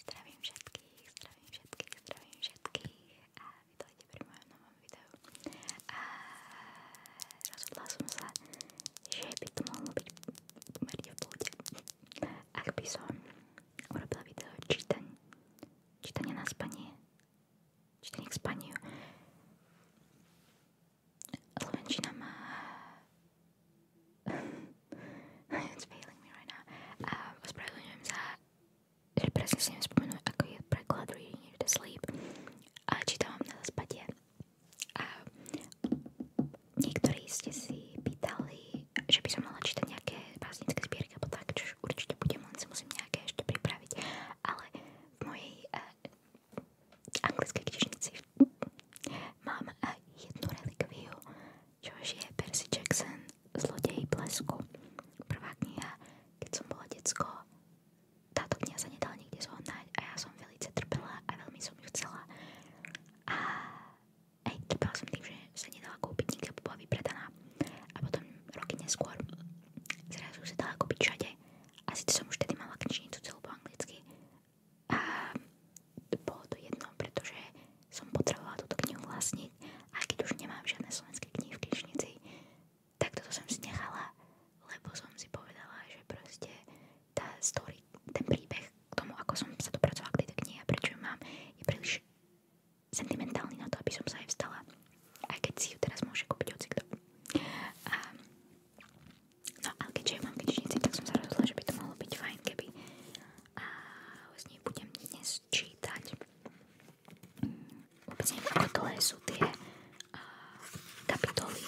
Zdravím všetkých, zdravím všetkých, zdravím všetkých a vítajte pri mojom novom videu. A rozhodla som sa, že by to mohlo byť pomerne v pôde. Ak by som urobila video čítaň, čítanie na spanie, čítanie k spaniu, Slovenčina má... It's failing me right now. Um, ospravedlňujem sa, že presne si nespomenú, ako je preklad Reading You to Sleep. A čítam vám na zaspadie. A niektorí ste si pýtali, že by som mala čítať nejaké básnické zbierky alebo tak, čo určite budem, len si musím nejaké ešte pripraviť. Ale v mojej uh, anglické knižnici mám aj jednu relikviu, čož je Percy Jackson Zlodej blesku. Prvá kniha, keď som bola decko, táto kniha sa nedala nikde zohnať a ja som velice trpela a veľmi som ju chcela. A aj trpela som tým, že sa nedala kúpiť nikde, bola vypredaná. A potom roky neskôr zrazu sa dala kúpiť všade. A síce som už tedy mala knižnicu celú po anglicky, a bolo to jedno, pretože som potrebovala túto knihu vlastniť a keď už nemám žiadne slovenské knihy v knižnici, tak toto som si nechala, lebo som si povedala, že proste tá story, ten príbeh k tomu, ako som sa dopracovala k tejto knihe a prečo ju mám, je príliš sentimentálny na to, aby som sa aj vstala. Aj keď si ju teraz môže kúpiť hocikto. A No a keďže mám knižnici, tak som sa rozhodla, že by to mohlo byť fajn, keby a z nej budem dnes čítať. Vôbec neviem, ako dlhé sú tie a, kapitoly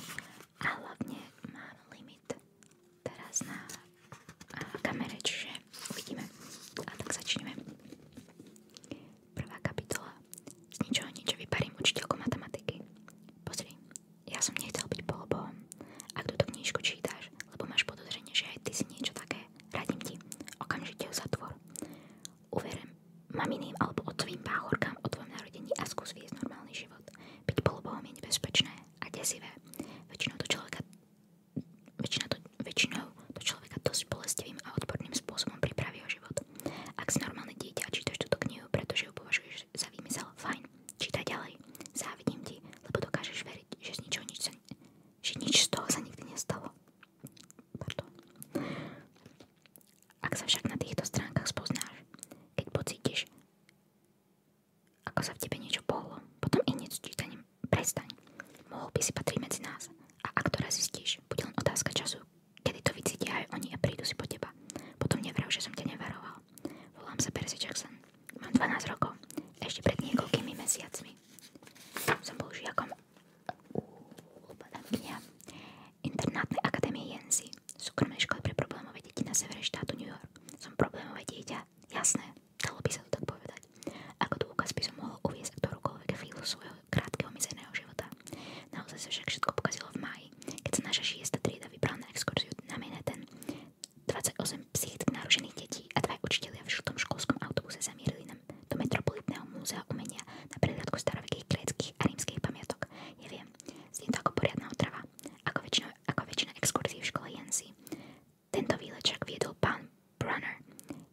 a hlavne mám limit teraz na a, kamere, čiže uvidíme. A tak začneme. Prvá kapitola. Z ničoho niečo vyparím učiteľko matematiky. Pozri, ja som nechcel byť polobom, ak túto knižku čítaš, lebo máš podozrenie, že aj ty si niečo také, radím ti, okamžite ju zatvor. Uverím maminým alebo otcovým páhorkám o tvojom narodení a skús viesť normálny život. Byť polobom je nebezpečné a desivé. Väčšinou to človeka väčšinou to, väčšinou to človeka dosť bolestivým a odporným spôsobom pripraví o život. Ak si normálne dieťa a čítaš túto knihu, pretože ju považuješ dokážeš, fajn, čítaj závidím ti, lebo dokážeš veriť, že z ničoho nič, z toho sa nikdy nestalo. Ak sa však na týchto stránkach spoznáš, keď pocítiš, ako sa v tebe niečo pohlo, potom i nič čítaním prestaň. Mohol by si patriť medzi nás a ak to raz zistíš, bude len otázka času, Kedy to vycítia aj oni a prídu si po teba. Potom nevrav, že som ťa nevaroval. Volám sa Percy Jackson. Mám 12 rokov. Ešte pred niekoľkými mesiacmi. Som bol žiakom úpadamkynia internátnej akadémie Jensi, súkromnej školy pre problémové deti na severe štátu New York. Som problémové dieťa? Jasné, dalo by sa to tak povedať. Ako dôkaz by som mohol uviezť ktorókoľvek chvíľu svojho krátkeho mizerného života. Naozaj sa však všetko pokazilo v máji, keď sa naša trieda vybrala na exkurziu na Manhattan. 28 psychicky narušených detí a dva učitelia v žltom školskom autobuse zamierili nám do Metropolitného múzea umenia na prehliadku starovekých gréckých a rímskych pamiatok. Neviem, znie to ako poriadna otrava, ako, väčšino, ako v škole Jensi. Tento výlet viedol pán Brunner,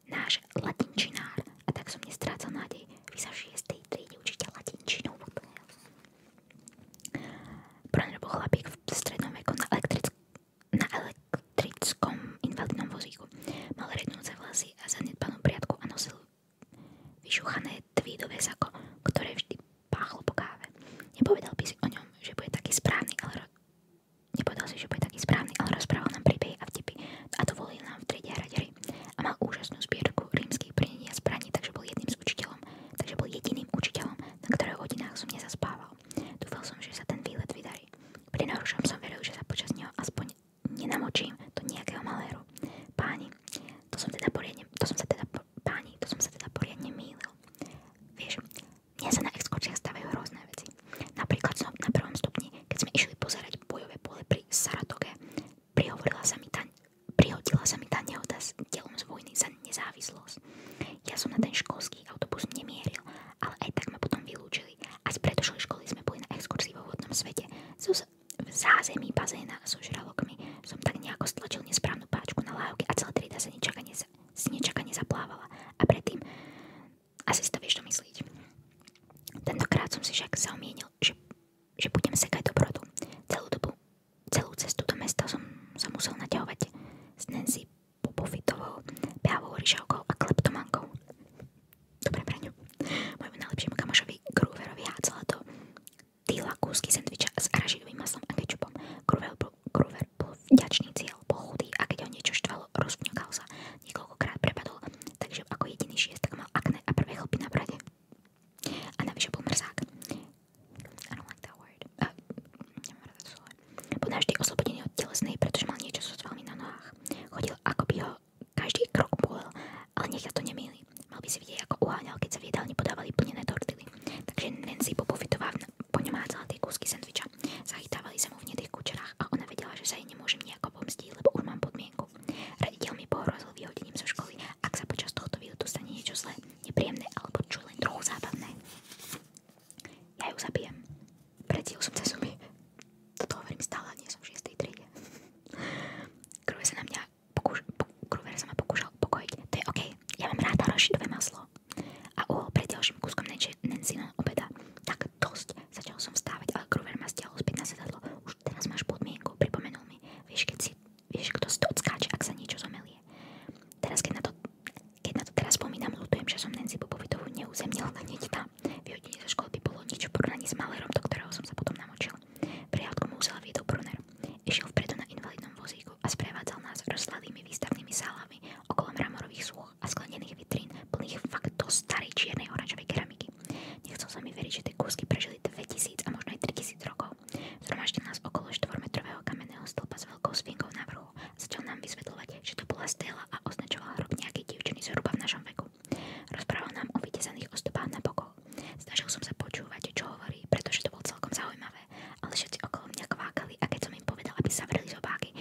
náš latinčinár, a tak som nestrácal nádej. Vy sa 6 tej triede učiteľ v strednom veku na, elektrickom invalidnom vozíku. Mal rednúce vlasy a zanedbanú priadku a nosil vyšúchané tvídové sako, ktoré vždy páchlo po káve. Nepovedal by si o ňom, že bude taký správny, ale Nepovedal si, že bude taký správny, ale rozprával nám príbehy a vtipy a dovolil nám v triede hrať hry a mal úžasnú zbierku rímskych prenení a zbraní, takže bol jedným z učiteľom, takže bol jediným učiteľom, na ktorého hodinách som nezaspával. Dúfal som, že sa ten výlet vydarí. Pri najhoršom som veril, že sa počas neho aspoň nenamočím do nejakého maléru. Páni, to som teda poriadne, to som sa teda, páni, to som sa teda poriadne mýlil. Vieš, mne sa na exkurziách stavajú rôzne veci. Napríklad som na prvom stupni, keď sme išli pozerať bojové pole pri Saratoge, Prihovorila sa mi tá, prihodila sa mi tá nehoda s telom z vojny za nezávislosť. Ja som na ten školský autobus nemieril, ale aj tak ma potom vylúčili a z predošlej školy sme boli na exkurzii vo vodnom svete. So, v zázemí bazéna so žralokmi som tak nejako stlačil nesprávnu páčku na lávke a celá trieda sa nečakane, si nečakane zaplávala. A predtým, asi si to vieš domyslieť. Tentokrát som si však zaumienil, že že budem sekať dobrotu. Celú dobu, celú cestu do mesta som sa musel naťahovať s Nancy Popovitovou, Beavou Ryžovkou a Kleptomankou. Dobre braňu. Mojemu najlepšiemu kamošovi Grooverovi hádzala do týla kúsky sendviča s aražidovým maslom a kečupom. Grover bol, Groover bol vďačný cieľ, bol chudý a keď ho niečo štvalo, rozvňukal sa niekoľkokrát prepadol, takže ako jediný šiestak mal akné a prvé chlpy na brade. A navyše bol mrzák. I don't like that word. Uh, nemám rada slovo. Bol navždy oslobodený od telesnej, pretože mal niečo so svalmi na nohách. Chodil, ako by ho každý krok bolel, ale nech to nemýli. Mal by si vidieť, ako uháňal, keď sa v jedálni podávali plnené tortily. Takže Nancy Popovitová poňomácala tie kúsky sendviča. Zachytávali sa mu v hnedých kučerách a ona vedela, že sa jej nemôžem nejako pomstiť, lebo už mám podmienku výletov. Raditeľ mi pohrozil vyhodením zo školy, ak sa počas tohto výletu stane niečo zlé, nepríjemné alebo čo len trochu zábavné. Ja ju zabijem. Predtým som sa zuby. Toto hovorím stále, nie som v 6. triede. Kruver sa na mňa pokúš... sa ma pokúšal upokojiť. To je OK. Ja mám ráda rošidové maslo. A uhol pred ďalším kúskom Nancyho obeda. Tak dosť. Začal som vstávať, ale Kruver ma stiahol späť na sedadlo. Už už teraz máš podmienku, pripomenul mi, vieš, keď si, vieš, kto si to odskáče, ak sa niečo zomelie. Teraz, keď na to, keď na to teraz spomínam, ľutujem, že som Nancy Bobovitovú neuzemnil na tam. Vyhodenie zo školy by bolo niečo v porovnaní s Malerom, do ktorého som sa potom namočil. Prehľadku mu musela viedol Brunner. Išiel vpredu na invalidnom vozíku a sprevádzal nás rozsladými výstavnými sálami okolo mramorových súch a sklenených vitrín plných faktov starej čiernej oranžovej keramiky. Nechcel sa mi veriť, že tie kúsky prežili 2000 a možno aj 3000 rokov. Zhromaždil nás okolo 4-metrového kamenného stĺpa s veľkou sfinkou na vrhu a začal nám vysvetľovať, že to bola stela a označoval hrob nejakej divčiny zhruba v našom veku. Rozprával nám o vytesaných ostopách na bokov. Snažil som sa počúvať, čo hovorí, pretože to bolo celkom zaujímavé, ale všetci okolo mňa kvákali a keď som im povedal, aby zavreli zobáky,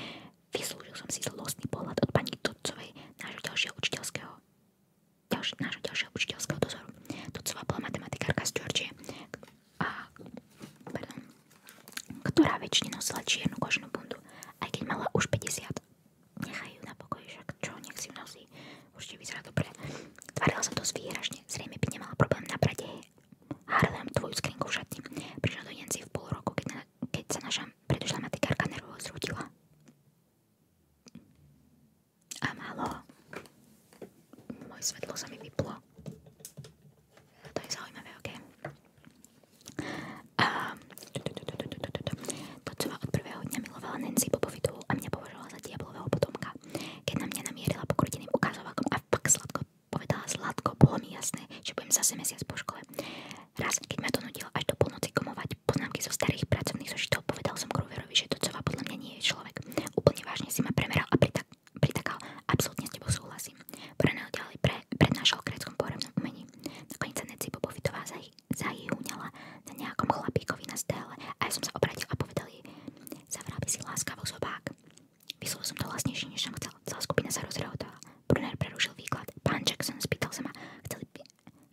Vyslúžil som si zlostný pohľad od pani Turcovej nášho ďalšieho učiteľského ďalši, nášho ďalšieho učiteľského dozoru. Turcová bola matematikárka z Georgie, a, pardon, ktorá väčšinou nosila čiernu koženú bundu, aj keď mala už 50. Nechaj ju na pokoji, však čo, nech si ju nosí. Určite vyzerá dobre. Tvárila sa dosť výražne, zrejme by nemala problém na brade. Harlem tvoju skrinku v šatni. Prišiel do Jenci v pol roku, keď na keď sa naša predošlá matikárka nervovo zrútila. A málo. Moje svetlo sa mi vyplo. To je zaujímavé, ok? A... To, čo ma od prvého dňa milovala Nancy Bobovitu a mňa považovala za diablového potomka. Keď na mňa namierila pokruteným ukázovakom a pak sladko povedala sladko, bolo mi jasné, že budem zase mesiac po škole. Raz, keď ma to nudilo až do polnoci komovať poznámky zo starých pracovných zošitov, povedal som Gruverovi, že Docová podľa mňa nie je človek. Úplne vážne si ma premeral a pritak pritakal. Absolútne s tebou súhlasím. Poranel ďalej pre, prednášal o gréckom pohrebnom umení. Nakoniec sa Neci Popovitová zaj, zajúňala na nejakom chlapíkovi na stéle a ja som sa obrátil a povedal jej, zavrel by si láskavo zobák. Vyslul som to hlasnejšie, než som chcel. Celá skupina sa rozrehotovala. Brunner prerušil výklad. Pán Jackson, spýtal sa ma, chcel,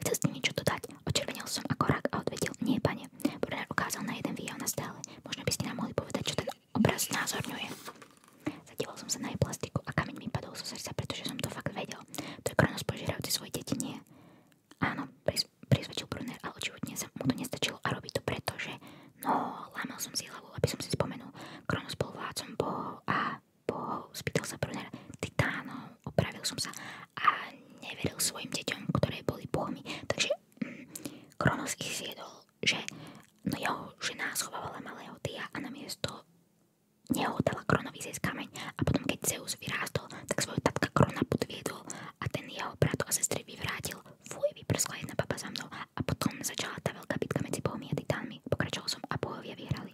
chcel ste niečo dodať? Očervenil som ako rak a odvedil, nie, pane. Brunner ukázal na jeden výjav na stále. Možno by ste nám mohli povedať, čo ten obraz znázorňuje. Zadíval som sa na jej plastiku a kameň mi padol zo srdca, pretože som to fakt vedel. To je Kronos požierajúci svoje deti, nie? Áno, priz, prizvedčil Brunner, ale očividne sa mu to nestačilo a robí to preto, že... No, lámal som si hlavu, aby som si spomenul. Kronos bol vládcom bohov a po, spýtal sa brunár opravil som sa a neveril svojim deťom, ktoré boli bohmi. Takže mm, Kronos ich že no jeho žena schovávala malého Tia a namiesto neho Kronovi zjesť kameň a potom keď Zeus vyrástol, tak svojho tatka Krona podviedol a ten jeho brat a sestry vyvrátil. Fuj, vyprskla jedna baba za mnou a potom začala tá veľká bitka medzi bohmi a Pokračoval som a bohovia vyhrali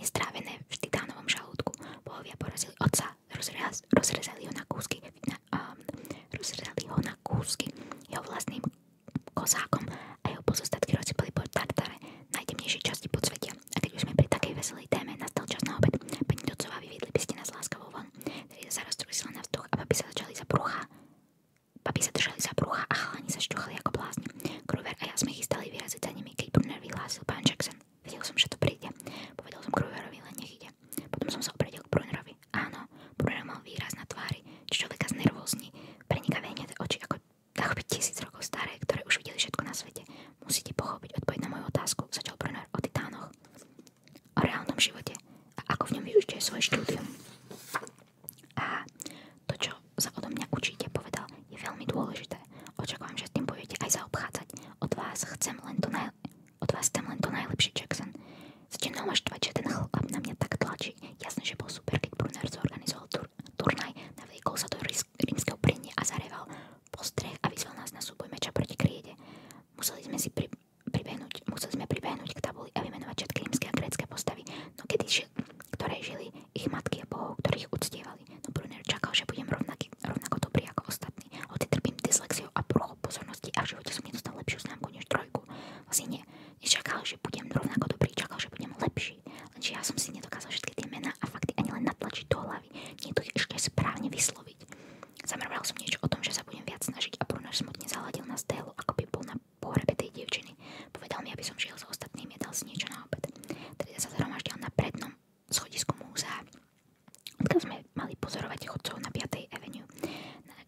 Nestrávené v titánovom žalúdku bohovia porazili otca, rozrezali ho na kúsky, um, rozrezali ho na kúsky jeho vlastným kozákom a jeho pozostatky rozsypali po Tartare, najtemnejšej časti podsvetia. A keď už sme pri takej veselej téme, nastal čas na obed. Pani Docová, vyviedli by ste nás láskavou von. sa roztrúsila na vzduch a babi sa začali za brucha. Babi sa držali za brucha a chalani sa šťuchali ako blázni. Kruver a ja sme chystali vyraziť za nimi, keď Brunner vyhlásil pán Jackson. Vedel som, že to príde. Povedal som Kruverovi, Potom som sa opredil k Brunnerovi. Áno, Brunner mal výraz na tvári, čo človeka znervózni. oči, ako tisíc rokov staré, ktoré už videli všetko na svete. Musíte pochopiť odpoveď na moju otázku, začal Brunner o titánoch. O reálnom živote a ako v využite svoje štúdium. A to, čo sa odo mňa učíte, povedal, je veľmi dôležité. Očakávam, že s tým budete aj zaobchádzať. Od vás chcem len to, naj... Od vás chcem len to najlepšie, Jackson. Začnem ho naštvať, že ten chlap na mňa tak tlačí. jasne, že bol super, keď Brunner zorganizoval tur- turnaj, navliekol sa do rísk- rímskeho a zareval postreh a vyzval nás na súboj meča proti kriede. Museli sme si pri- pribehnúť, museli sme pribehnúť k tabuli a vymenovať všetky rímske a grécké postavy, no kedy ži- ktoré žili ich matky a bohov, ktorých uctievali, no Brunner čakal, že budem rovnaký, rovnako dobrý ako ostatní. Hoci trpím dyslexiou a prúchou pozornosti a v živote som nedostal lepšiu známku než trojku. Vlastne nie, nečakal, že budem rovnako dobrý, čakal, že budem lepší. Lenže ja som si nedokázal všetky tie mená a fakty ani len natlačiť do hlavy. Nie to ešte správne vysloviť. Zamrval som niečo o tom, že sa budem viac snažiť a Brunner smutne zaladil na stélu, ako by bol na pohrebe tej dievčiny. Povedal mi, aby som šiel s ostatnými, dal si niečo na obed. Teda sa zhromaždil na prednom schodisku múzea, odkiaľ sme mali pozorovať chodcov na 5. Avenue.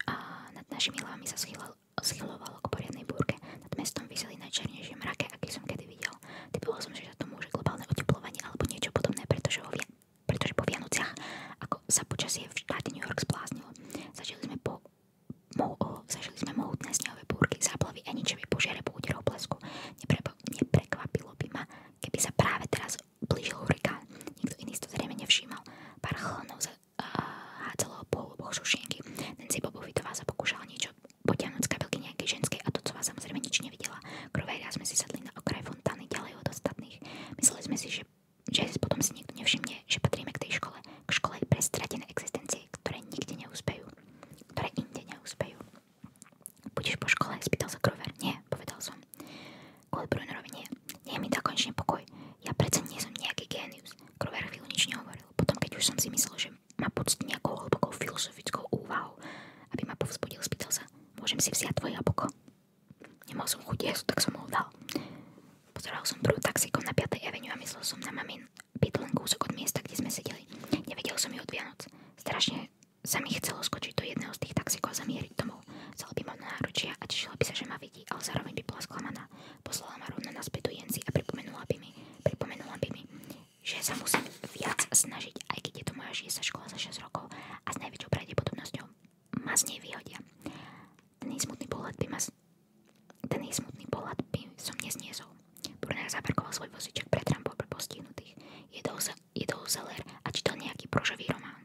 A nad našimi hlavami sa schylo, schylovalo k poriadnej búrke. Nad mestom vyseli najčernejšie mrake, aký som kedy videl. Typoval som, že za to môže globálne oteplovanie alebo niečo podobné, pretože, ho via, pretože po Vianociach, ako sa počasie v štáte New York spláznilo, začali sme po zažili sme mohutné snehové búrky, záplavy a ničivé požiare po úderov blesku. Neprepo- neprekvapilo by ma, keby práve teraz blížil hurikán. Nikto iný si zrejme nevšímal. Pár chlonov za, uh, hádzalo po hluboch šušienky. Nancy Bobovitová sa pokúšala niečo potiahnuť z nejakej ženskej a Tocová samozrejme nič nevidela. Krovejria sme si na okraj fontány ďalej od ostatných. Mysleli sme si, že, že potom si nikto nevšimne, že patríme k tej škole k škole po škole? Spýtal sa Grover. Nie, povedal som. Goldbrunnerovi nie. Nie mi dá konečne Ja predsa nie som nejaký génius. Grover nič nehovoril. Potom, keď už som si myslel, že ma poctí nejakou hlbokou filozofickou úvahou, aby ma povzbudil, spýtal sa. Môžem si vziať tvoje jablko? Nemal som chuť jesť, tak som ho dal. Pozeral som prvú taxikom na 5. Avenue a myslel som na mamin byt len kúsok od miesta, kde sme sedeli. Nevedel som ju od Vianoc. Strašne sa mi chcelo skočiť do jedného z tých taxikov a zamieriť domov. Vzala by ma na náručia a tešila by sa, že ma vidí, ale zároveň by bola sklamaná. Poslala ma rovno naspäť do Jenci a pripomenula by mi, pripomenula by mi, že sa musím viac snažiť, aj keď je to moja žiesa škola za 6 rokov a s najväčšou pravdepodobnosťou ma z nej vyhodia. Ten smutný pohľad by ma ten jej smutný pohľad by som nezniesol. Brunner zaparkoval svoj voziček pred rampou pre postihnutých. Jedol, za, jedol zeler a čítal nejaký pružový román.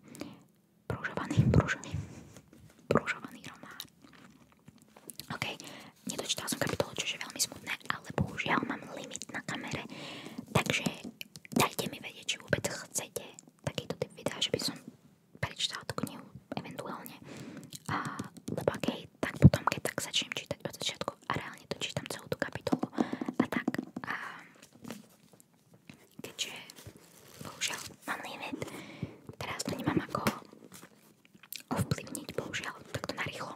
Pružovaný, pružový, pružovaný román. OK, nedočítala som kapitolu, čo je veľmi smutné, ale bohužiaľ mám limit na kamere, takže dajte mi vedieť, či vôbec chcete takýto typ videa, že by som prečítala tú knihu eventuálne. A, lebo ak hej, tak potom keď tak začnem čítať od začiatku a reálne to čítam celú tú kapitolu a tak a keďže bohužiaľ mám limit, teraz to nemám ako ovplyvniť bohužiaľ takto narýchlo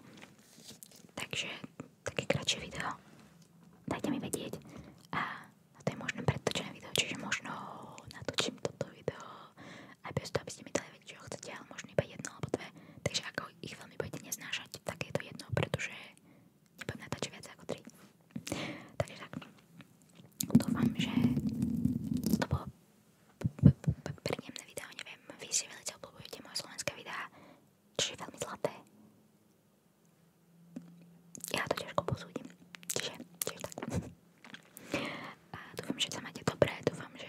takže také kratšie video dajte mi vedieť a to je možno predtočené video, čiže možno natočím toto video aj bez toho, aby ste mi dali vedieť, čo chcete, ale možno iba jedno alebo dve. Takže ako ich veľmi budete neznášať, tak je to jedno, pretože nebudem natáčať viac ako tri. Takže tak, dúfam, že to bolo príjemné video, neviem, vy si veľmi obľúbujete moje slovenské videá, čiže veľmi zlaté. Ja to ťažko posúdim, čiže, čiže tak. A dúfam, že sa máte dobré, dúfam, že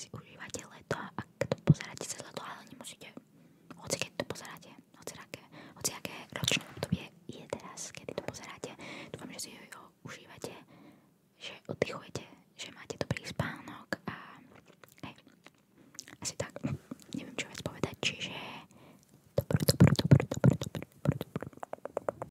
si užívate leto a keď to pozeráte cez leto, ale nemusíte, hoci keď to pozeráte, hoci aké, hoci aké ročné obdobie je teraz, kedy to pozeráte, dúfam, že si ho užívate, že oddychujete, že máte dobrý spánok a hej, asi tak, neviem čo vec povedať, čiže dobrú, dobrú, dobrú, dobrú, dobrú, dobrú, dobrú.